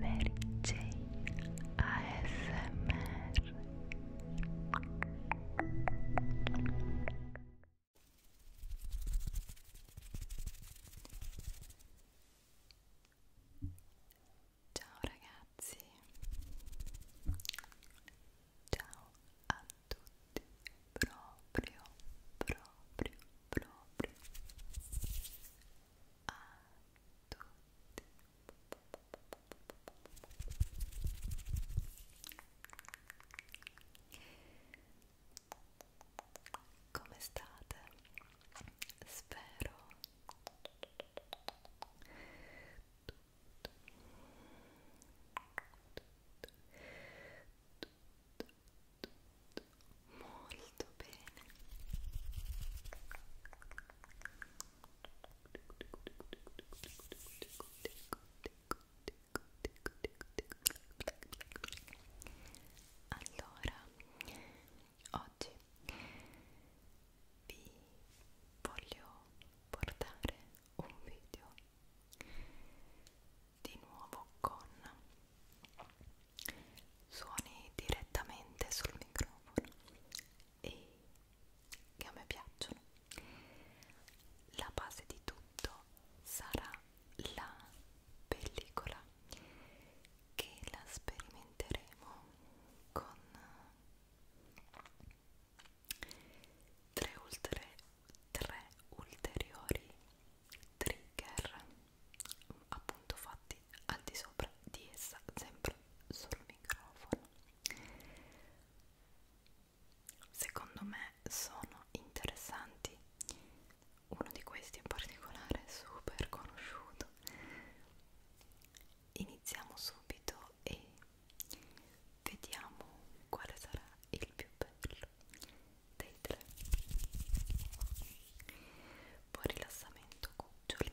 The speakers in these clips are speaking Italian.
Mary Jane ASMR Ciao ragazzi Ciao a tutti proprio proprio proprio a tutti come state? Spero tutto, tutto, tutto tutto molto bene allora oggi vi voglio portare un video di nuovo con suoni direttamente sul microfono e che a me piacciono la base di tutto sarà la pellicola che la sperimenteremo con tre, ultere, tre ulteriori trigger appunto fatti al di sopra di essa sempre sul microfono secondo me sono interessanti uno di questi in particolare è super conosciuto iniziamo subito e vediamo quale sarà il più bello dei tre buon rilassamento cuccioli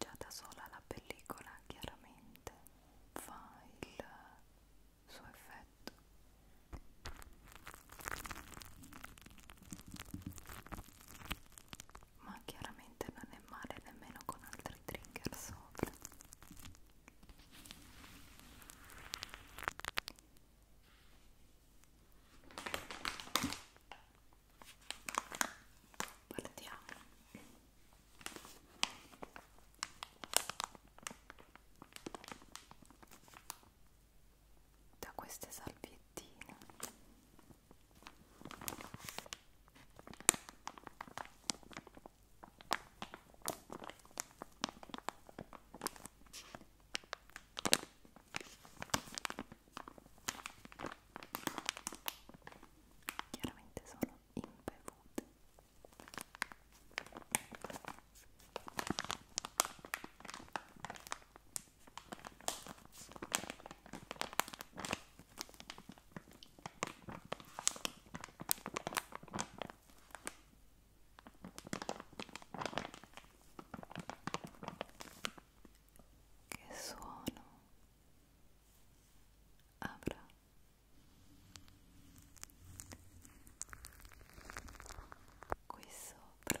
Già da sola la pellicola chiaramente fa il suo effetto ma chiaramente non è male nemmeno con altri trigger sopra partiamo da queste salviettine Chiaramente sono impevute. Che suono avrà? qui sopra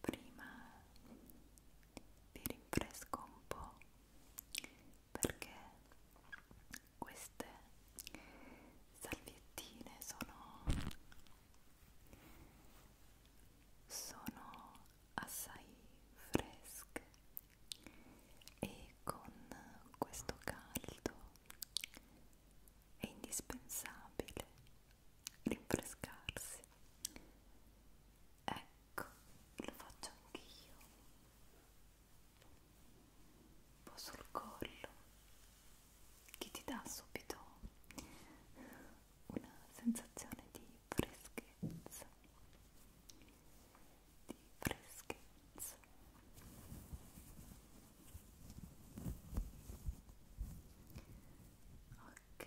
prima vi rinfresco un po' perché queste salviettine sono sono assai fresche e con questo caldo è indispensabile rinfrescarsi ecco Ecco, lo faccio anche io. Un po' sul collo, che ti dà subito una sensazione di freschezza. Di freschezza. Ok.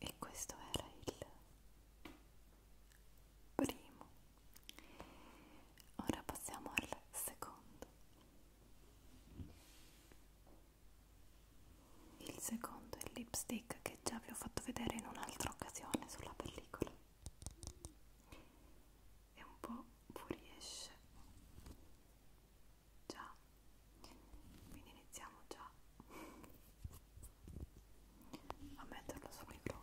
e questo era il primo ora passiamo al secondo il secondo è il lipstick che già vi ho fatto vedere in un'altra occasione sulla pellicola e un po' fuoriesce già quindi iniziamo già a metterlo solo in low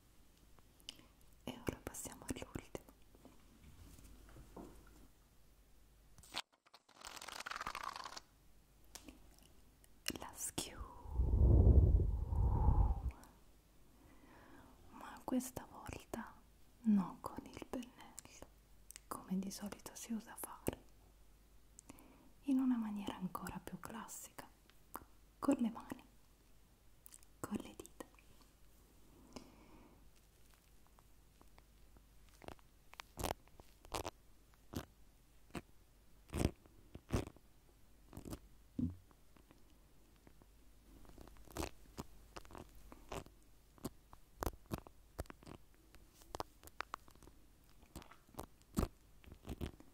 E ora passiamo all'ultimo. La schiuma. Ma questa volta non con il pennello, come di solito si usa fare, in una maniera ancora più classica, con le mani con le dita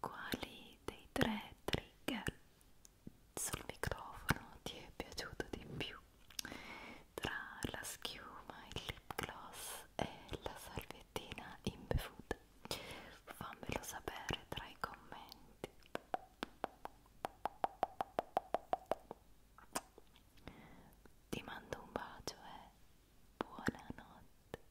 Quali dei tre trigger sul microfono ti è piaciuto di più? tra la schiuma, il lip gloss e la salviettina imbevuta fammelo sapere tra i commenti ti mando un bacio e buonanotte